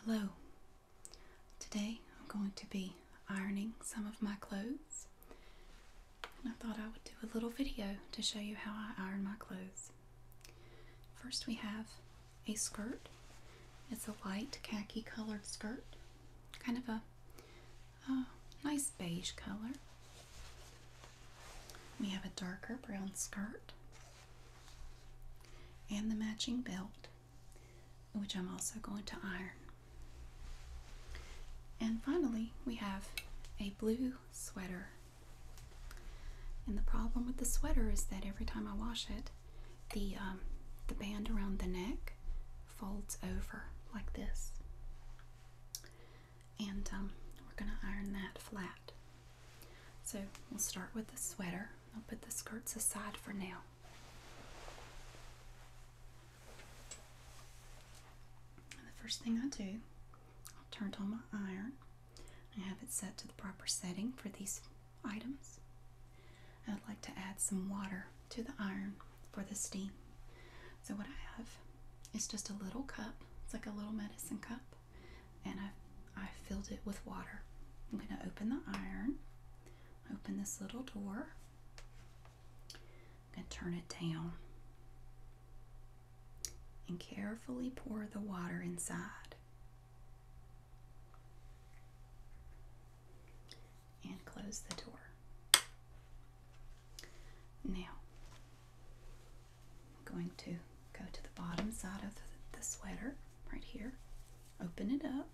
Hello. Today I'm going to be ironing some of my clothes. And I thought I would do a little video to show you how I iron my clothes. First we have a skirt. It's a light khaki colored skirt. Kind of a, nice beige color. We have a darker brown skirt and the matching belt, which I'm also going to iron. And finally, we have a blue sweater. And the problem with the sweater is that every time I wash it, the um, the band around the neck folds over like this. And um, we're going to iron that flat. So we'll start with the sweater. I'll put the skirts aside for now. the first thing I do, I'll turn on my iron I have it set to the proper setting for these items. I'd like to add some water to the iron for the steam. So what I have is just a little cup. It's like a little medicine cup and i i filled it with water. I'm going to open the iron, open this little door. and turn it down and carefully pour the water inside. And close the door. Now, I'm going to Go to the bottom side of the, sweater right here. Open it up.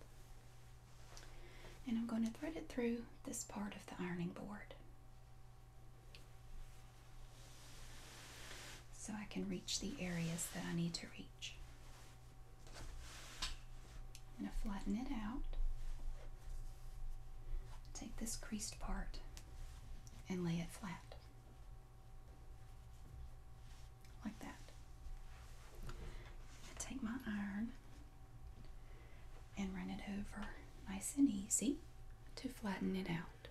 And I'm going to thread it through this part of the ironing board. So I can reach the areas that I need to reach. I'm going to flatten it out. Take this creased part and lay it flat. Like that. I take my iron and run it over nice and easy to flatten it out.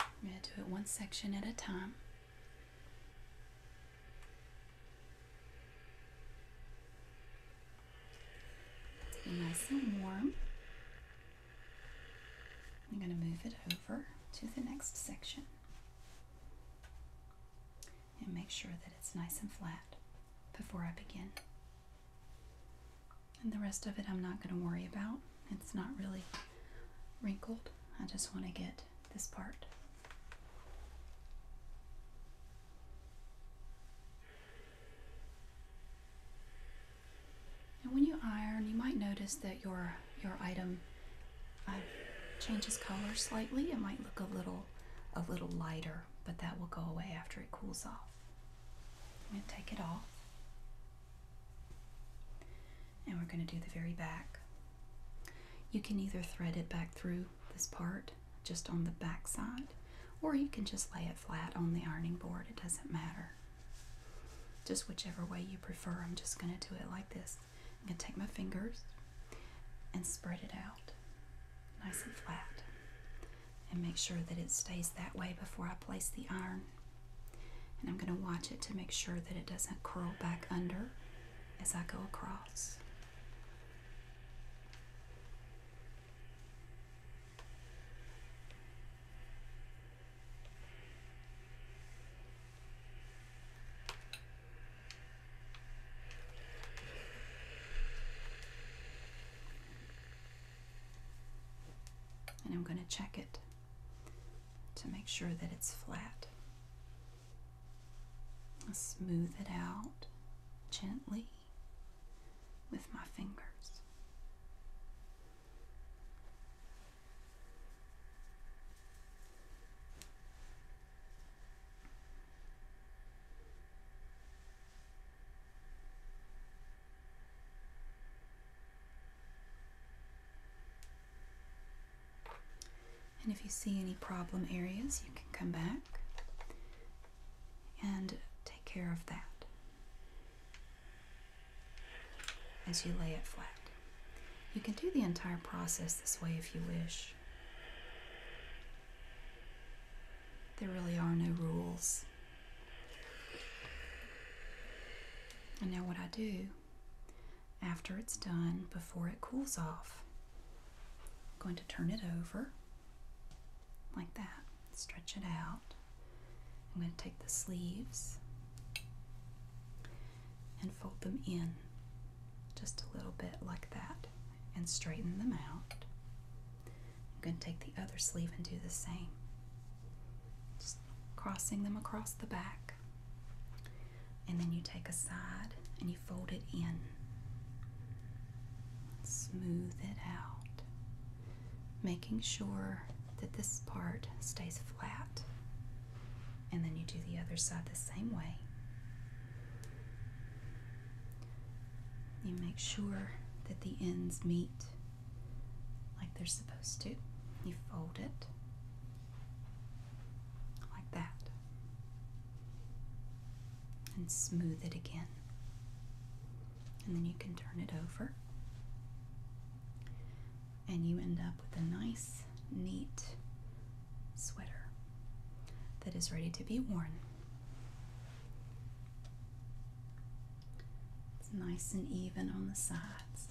I'm going to do it one section at a time. nice and warm. I'm going to move it over to the next section and make sure that it's nice and flat before I begin. And the rest of it I'm not going to worry about. It's not really wrinkled. I just want to get this part. And when you iron, you might notice that your your item uh, changes color slightly. It might look a little a little lighter, but that will go away after it cools off. i take it off. And we're going to do the very back. You can either thread it back through this part just on the back side, or you can just lay it flat on the ironing board. It doesn't matter. Just whichever way you prefer. I'm just going to do it like this. I'm going to take my fingers and spread it out nice and flat and make sure that it stays that way before I place the iron. And I'm going to watch it to make sure that it doesn't curl back under as I go across. And I'm going to check it to make sure that it's flat. I'll smooth it out gently with my fingers. And if you see any problem areas, you can come back and take care of that as you lay it flat. You can do the entire process this way if you wish. There really are no rules. And now, what I do after it's done, before it cools off, I'm going to turn it over like that. Stretch it out. I'm going to take the sleeves and fold them in just a little bit like that and straighten them out. I'm going to take the other sleeve and do the same. Just crossing them across the back. And then you take a side and you fold it in. Smooth it out making sure that this part stays flat. And then you do the other side the same way. You make sure that the ends meet like they're supposed to. You fold it like that and smooth it again and then you can turn it over and you end up with a nice neat sweater that is ready to be worn it's nice and even on the sides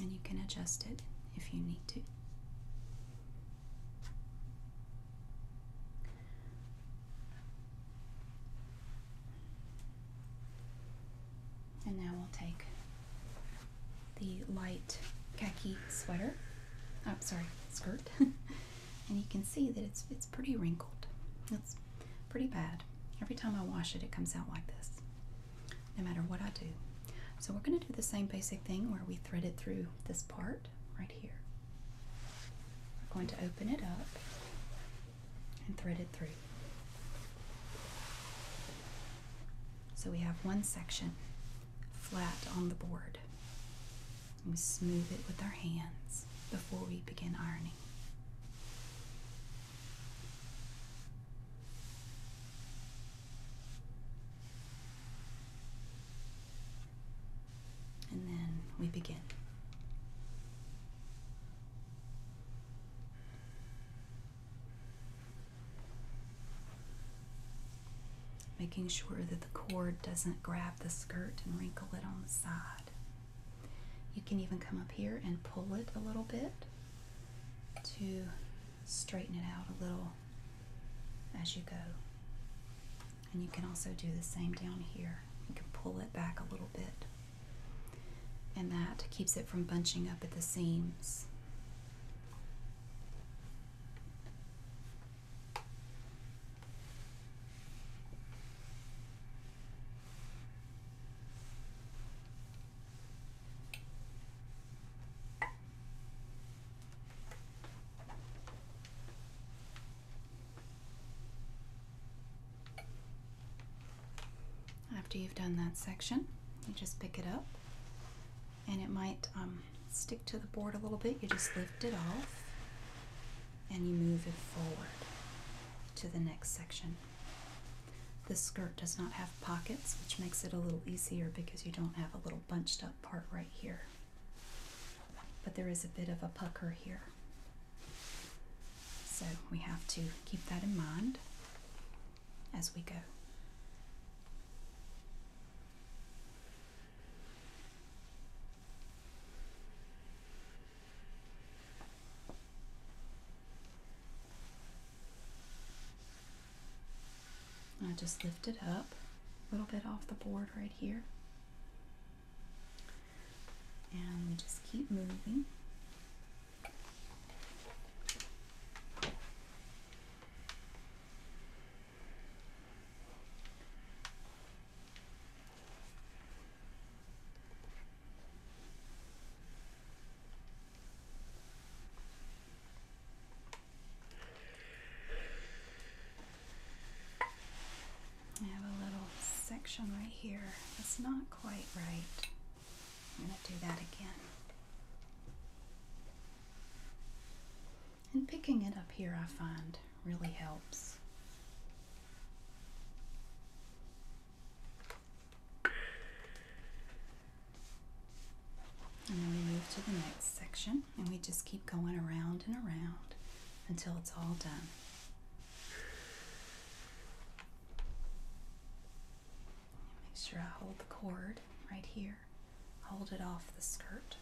and you can adjust it if you need to and now we'll take the light khaki sweater. I'm oh, sorry, skirt. and you can see that it's it's pretty wrinkled. It's pretty bad. Every time I wash it, it comes out like this, no matter what I do. So we're going to do the same basic thing where we thread it through this part right here. We're going to open it up and thread it through. So we have one section flat on the board. We smooth it with our hands before we begin ironing. And then we begin. Making sure that the cord doesn't grab the skirt and wrinkle it on the side. You can even come up here and pull it a little bit to straighten it out a little as you go. And you can also do the same down here. You can pull it back a little bit. And that keeps it from bunching up at the seams. After you've done that section, you just pick it up and it might um, stick to the board a little bit. You just lift it off and you move it forward to the next section. This skirt does not have pockets, which makes it a little easier because you don't have a little bunched up part right here. But there is a bit of a pucker here. So we have to keep that in mind as we go. I just lift it up a little bit off the board right here. And just keep moving. I have a little section right here that's not quite right. I'm going to do that again. And picking it up here, I find really helps. And then we move to the next section and we just keep going around and around until it's all done. Make sure I hold the cord right here, hold it off the skirt.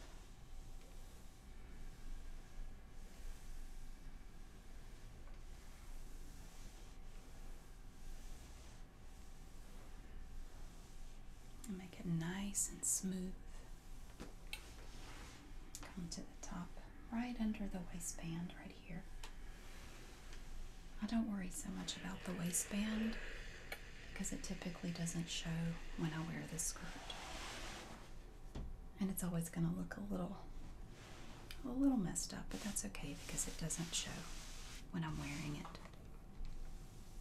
And make it nice and smooth. Come to the top, right under the waistband, right here. I don't worry so much about the waistband because it typically doesn't show when I wear this skirt. And it's always going to look a little a little messed up, but that's okay because it doesn't show when I'm wearing it.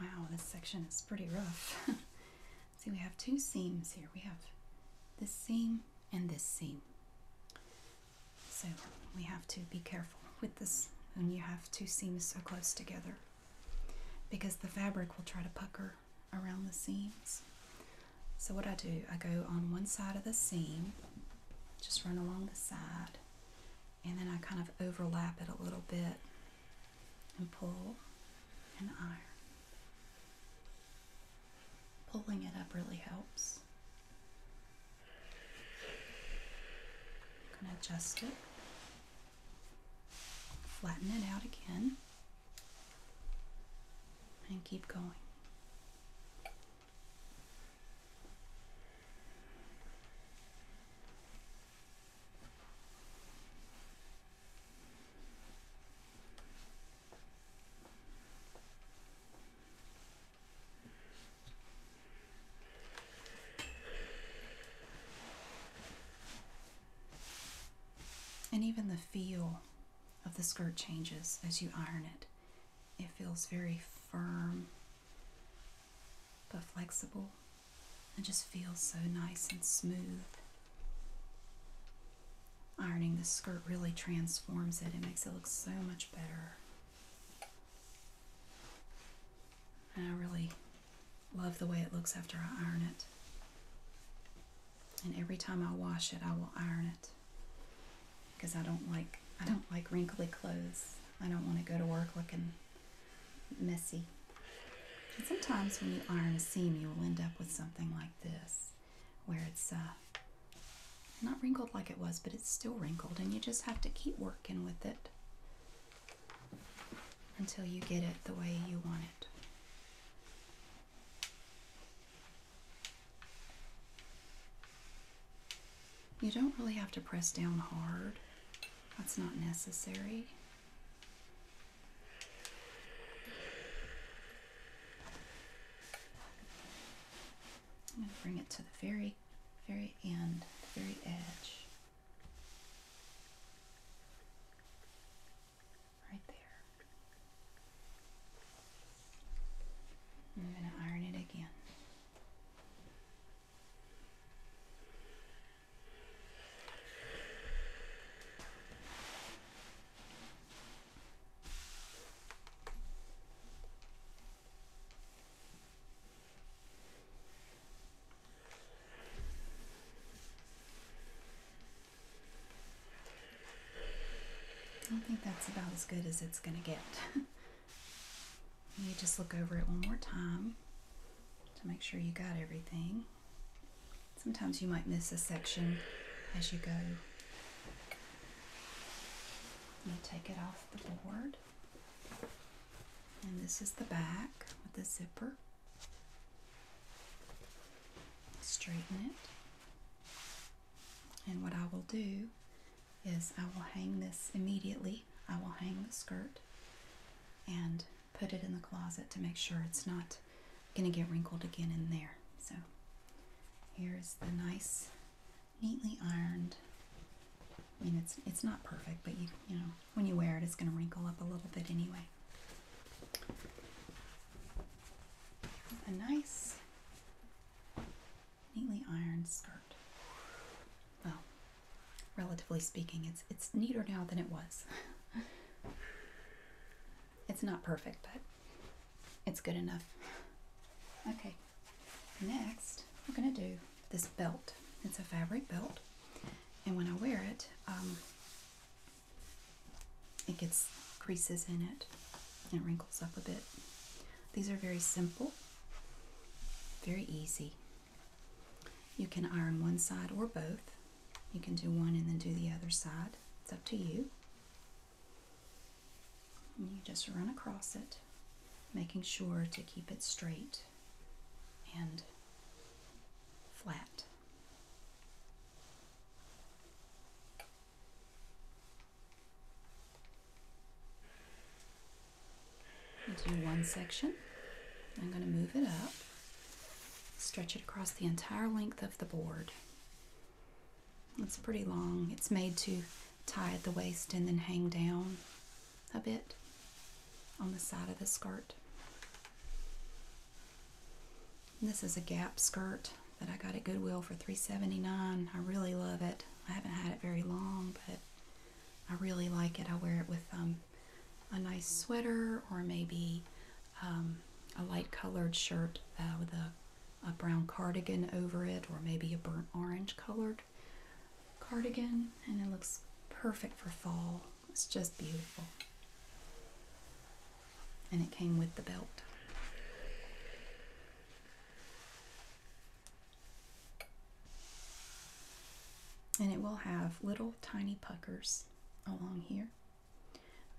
Wow, this section is pretty rough. See, we have two seams here. We have this seam and this seam. So we have to be careful with this when you have two seams so close together because the fabric will try to pucker around the seams. So what I do, I go on one side of the seam, just run along the side, and then I kind of overlap it a little bit and pull and iron. Pulling it up really helps. I'm going to adjust it, flatten it out again and keep going. And even the feel of the skirt changes as you iron it. It feels very firm but flexible and just feels so nice and smooth. Ironing the skirt really transforms it. It makes it look so much better. I really love the way it looks after I iron it and every time I wash it I will iron it because I don't like I don't like wrinkly clothes. I don't want to go to work looking messy. sometimes when you iron a seam, you will end up with something like this, where it's uh, not wrinkled like it was, but it's still wrinkled, and you just have to keep working with it until you get it the way you want it. You don't really have to press down hard. That's not necessary. I'm going to bring it to the very, very end, very edge right there. I'm going to iron it again. I think that's about as good as it's going to get. you just look over it one more time to make sure you got everything. Sometimes you might miss a section as you go. You take it off the board. And this is the back with the zipper. Straighten it. And what I will do is I will hang this immediately. I will hang the skirt and put it in the closet to make sure it's not going to get wrinkled again in there. So here's the nice, neatly ironed. I mean, it's it's not perfect, but you you know when you wear it, it's going to wrinkle up a little bit anyway a nice, neatly ironed skirt. Well, relatively speaking, it's it's neater now than it was. it's not perfect, but it's good enough. Okay, next we're gonna do this belt. It's a fabric belt, and when I wear it, um, it gets creases in it and wrinkles up a bit. These are very simple, very easy. You can iron one side or both. You can do one and then do the other side. It's up to you. you just run across it, making sure to keep it straight and flat do one section. I'm going to move it up, stretch it across the entire length of the board. It's pretty long. It's made to tie at the waist and then hang down a bit on the side of the skirt. This is a Gap skirt that I got at Goodwill for $3.79. I really love it. I haven't had it very long, but I really like it. I wear it with um, a nice sweater or maybe um, a light colored shirt uh, with a brown cardigan over it or maybe a burnt orange colored cardigan and it looks perfect for fall. It's just beautiful. And it came with the belt. And it will have little tiny puckers along here.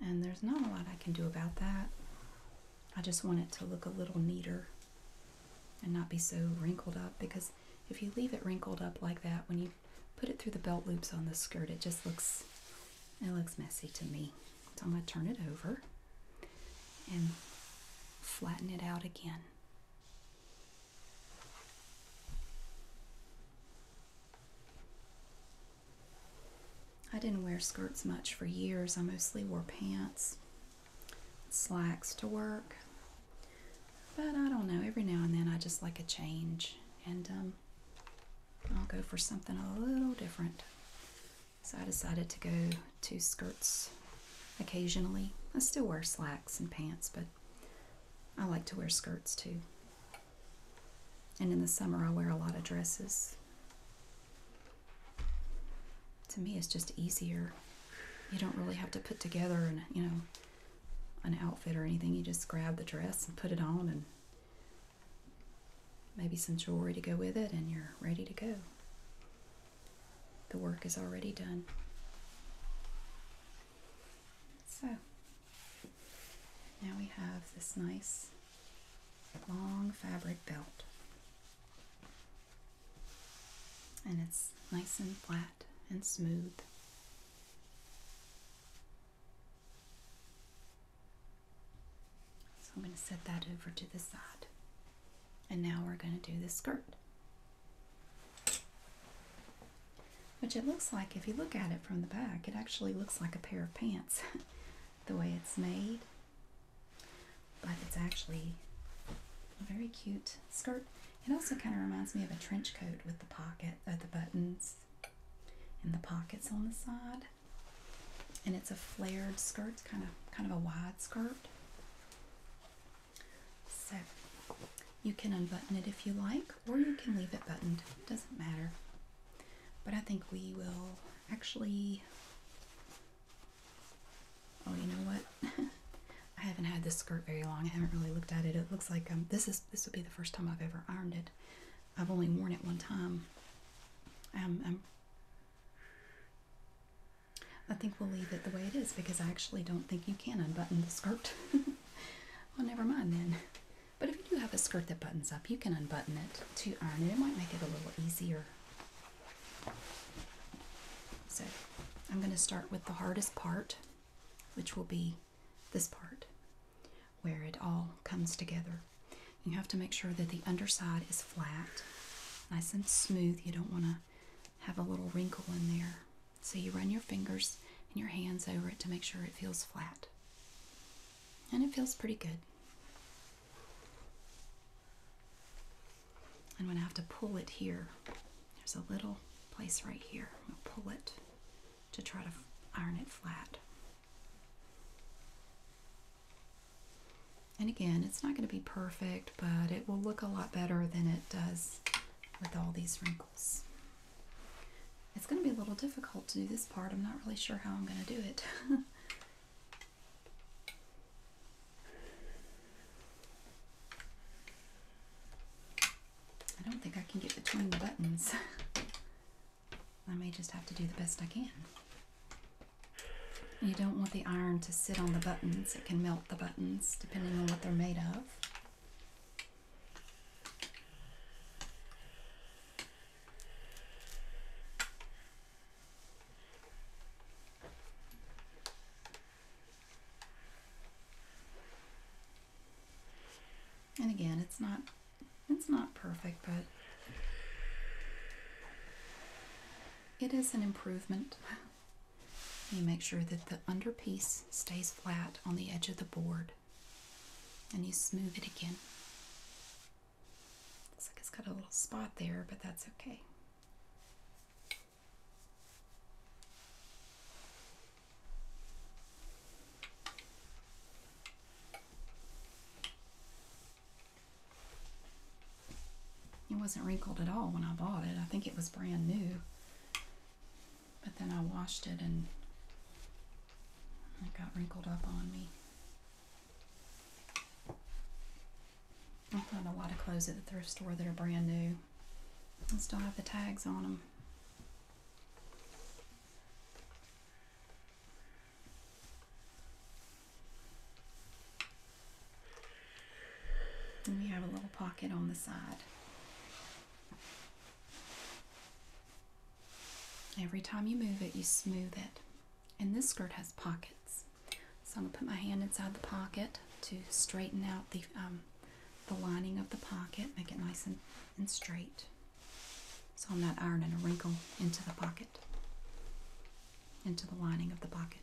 And there's not a lot I can do about that. I just want it to look a little neater and not be so wrinkled up because if you leave it wrinkled up like that when you put it through the belt loops on the skirt. It just looks, it looks messy to me. So I'm going to turn it over and flatten it out again. I didn't wear skirts much for years. I mostly wore pants, slacks to work. But I don't know, every now and then I just like a change. And um, I'll go for something a little different. So I decided to go to skirts occasionally. I still wear slacks and pants, but I like to wear skirts too. And in the summer, I wear a lot of dresses. To me, it's just easier. You don't really have to put together an, you know, an outfit or anything. You just grab the dress and put it on and Maybe some jewelry to go with it, and you're ready to go. The work is already done. So, now we have this nice long fabric belt. And it's nice and flat and smooth. So I'm going to set that over to the side. And now we're going to do the skirt. Which it looks like, if you look at it from the back, it actually looks like a pair of pants. the way it's made. But it's actually a very cute skirt. It also kind of reminds me of a trench coat with the pocket, uh, the buttons and the pockets on the side and it's a flared skirt it's kind of kind of a wide skirt so you can unbutton it if you like or you can leave it buttoned doesn't matter but I think we will actually oh you know what I haven't had this skirt very long I haven't really looked at it it looks like um, this is this would be the first time I've ever ironed it I've only worn it one time. i um, um, I think we'll leave it the way it is because I actually don't think you can unbutton the skirt. well, never mind then. But if you do have a skirt that buttons up, you can unbutton it to iron it. It might make it a little easier. So I'm going to start with the hardest part, which will be this part where it all comes together. You have to make sure that the underside is flat, nice and smooth. You don't want to have a little wrinkle in there. So you run your fingers and your hands over it to make sure it feels flat. And it feels pretty good. I'm going to have to pull it here. There's a little place right here. I'm going to pull it to try to iron it flat. And again, it's not going to be perfect, but it will look a lot better than it does with all these wrinkles. It's going to be a little difficult to do this part. I'm not really sure how I'm going to do it. I don't think I can get between the buttons. I may just have to do the best I can. You don't want the iron to sit on the buttons. It can melt the buttons depending on what they're made of. And again, it's not it's not perfect, but it is an improvement. You make sure that the under piece stays flat on the edge of the board and you smooth it again. Looks like it's got a little spot there, but that's okay. It wasn't wrinkled at all when I bought it. I think it was brand new. But then I washed it and it got wrinkled up on me. I find a lot of clothes at the thrift store that are brand new and still have the tags on them. And we have a little pocket on the side. Every time you move it, you smooth it. And this skirt has pockets. So I'm going to put my hand inside the pocket to straighten out the um, the lining of the pocket, make it nice and, and straight so I'm not ironing a wrinkle into the pocket, into the lining of the pocket.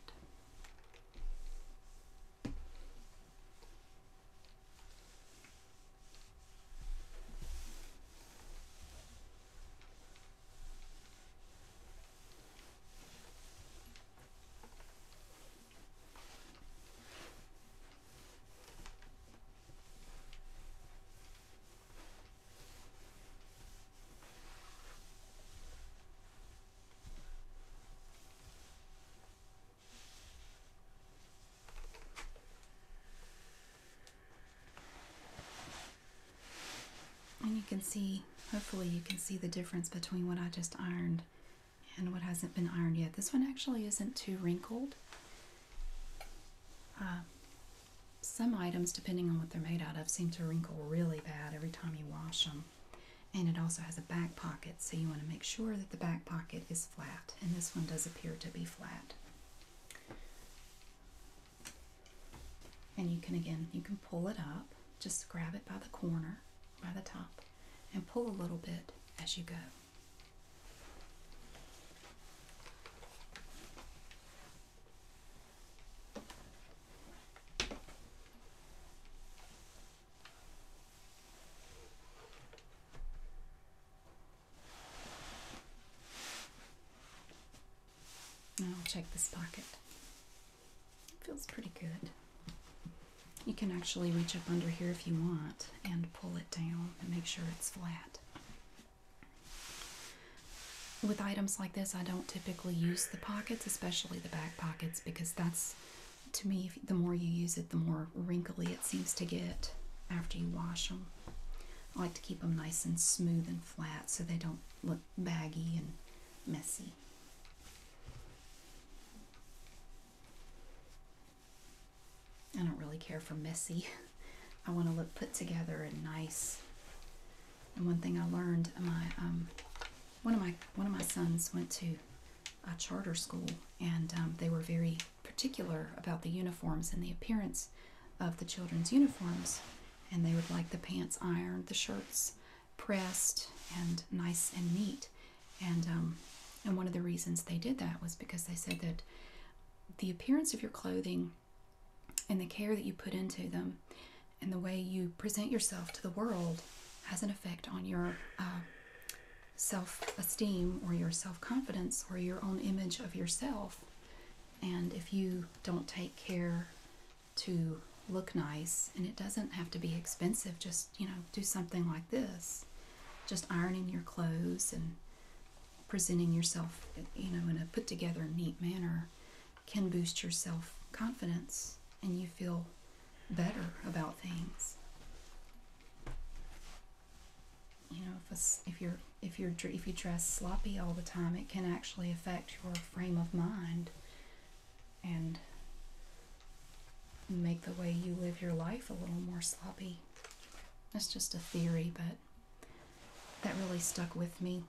And you can see, hopefully you can see the difference between what I just ironed and what hasn't been ironed yet. This one actually isn't too wrinkled. Uh, some items, depending on what they're made out of, seem to wrinkle really bad every time you wash them. And it also has a back pocket, so you want to make sure that the back pocket is flat. And this one does appear to be flat. And you can, again, you can pull it up. Just grab it by the corner, by the top, and pull a little bit as you go. I'll check this pocket. It feels pretty good. You can actually reach up under here if you want and pull it down and make sure it's flat. With items like this, I don't typically use the pockets, especially the back pockets, because that's, to me, the more you use it, the more wrinkly it seems to get after you wash them. I like to keep them nice and smooth and flat so they don't look baggy and messy. I don't really care for messy. I want to look put together and nice. And one thing I learned, my um, one of my one of my sons went to a charter school, and um, they were very particular about the uniforms and the appearance of the children's uniforms. And they would like the pants ironed, the shirts pressed, and nice and neat. And um, and one of the reasons they did that was because they said that the appearance of your clothing and the care that you put into them and the way you present yourself to the world has an effect on your uh, self-esteem or your self-confidence or your own image of yourself and if you don't take care to look nice and it doesn't have to be expensive just you know do something like this just ironing your clothes and presenting yourself, you know, in a put together, neat manner can boost your self confidence and you feel better about things. You know, if, if you're if you're if you dress sloppy all the time, it can actually affect your frame of mind and make the way you live your life a little more sloppy. That's just a theory, but that really stuck with me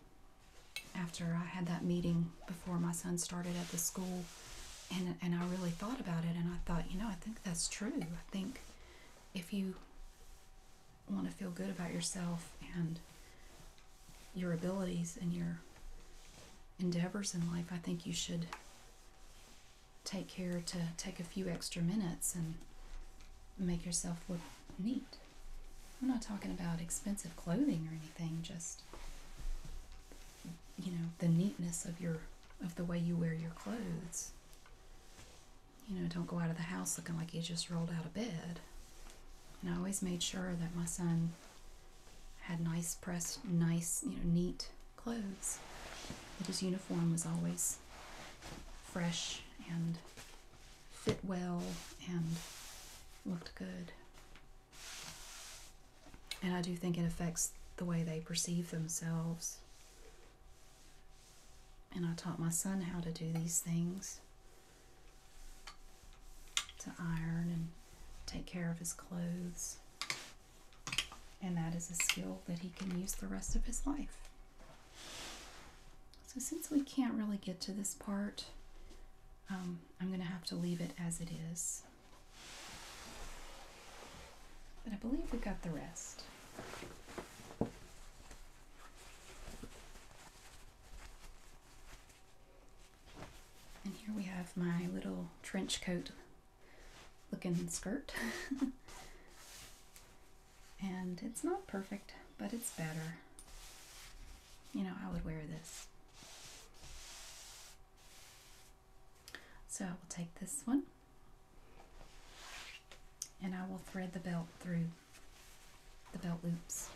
after I had that meeting before my son started at the school. And, and I really thought about it and I thought, you know, I think that's true. I think if you want to feel good about yourself and your abilities and your endeavors in life, I think you should take care to take a few extra minutes and make yourself look neat. I'm not talking about expensive clothing or anything, just you know, the neatness of your of the way you wear your clothes. You know, don't go out of the house looking like you just rolled out of bed. And I always made sure that my son had nice pressed nice, you know, neat clothes. That his uniform was always fresh and fit well and looked good. And I do think it affects the way they perceive themselves. And I taught my son how to do these things to iron and take care of his clothes. And that is a skill that he can use the rest of his life. So since we can't really get to this part, um, I'm going to have to leave it as it is. But I believe we have got the rest. And here we have my little trench coat looking skirt. and it's not perfect, but it's better. You know, I would wear this. So I will take this one and I will thread the belt through the belt loops.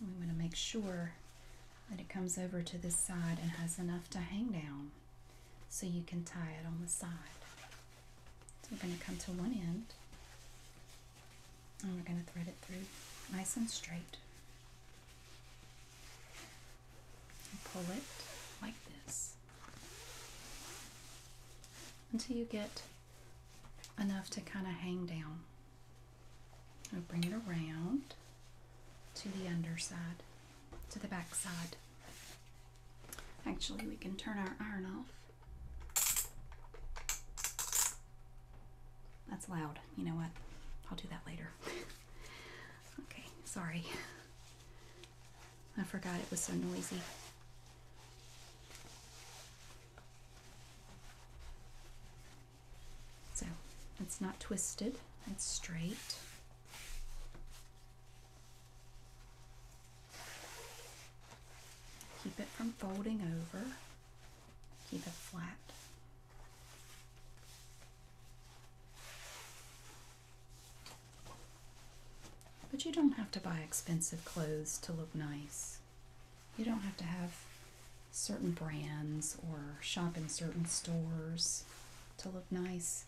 We want to make sure that it comes over to this side and has enough to hang down so you can tie it on the side. we're going to come to one end and we're going to thread it through nice and straight. pull it like this until you get enough to kind of hang down. I'll bring it around to the underside, to the back side. Actually, we can turn our iron off. That's loud. You know what? I'll do that later. okay, sorry. I forgot it was so noisy. So it's not twisted, it's straight. Keep it from folding over. Keep it flat. But you don't have to buy expensive clothes to look nice. You don't have to have certain brands or shop in certain stores to look nice.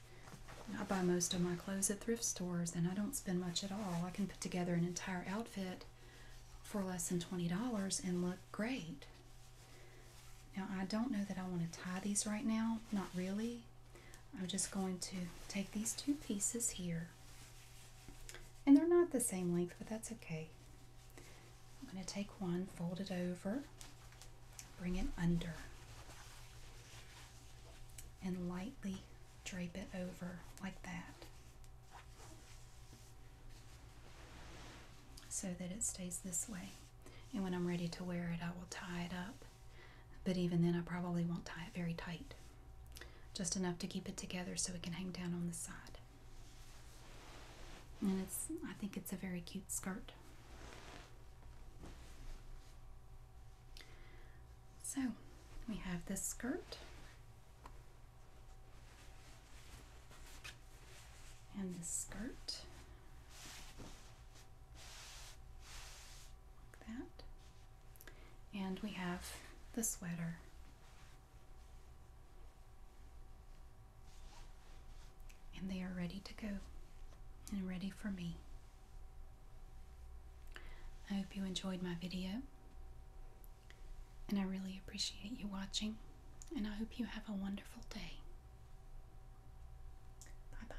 I buy most of my clothes at thrift stores and I don't spend much at all. I can put together an entire outfit for less than $20 and look great. Now, I don't know that I want to tie these right now, not really. I'm just going to take these two pieces here. And they're not the same length, but that's okay. I'm going to take one, fold it over, bring it under, and lightly drape it over like that so that it stays this way. And when I'm ready to wear it, I will tie it up. But even then, I probably won't tie it very tight. Just enough to keep it together so it can hang down on the side. And it's I think it's a very cute skirt. So we have this skirt. And this skirt. Like that. And we have the sweater and they are ready to go and ready for me. I hope you enjoyed my video. And I really appreciate you watching. And I hope you have a wonderful day. Bye bye.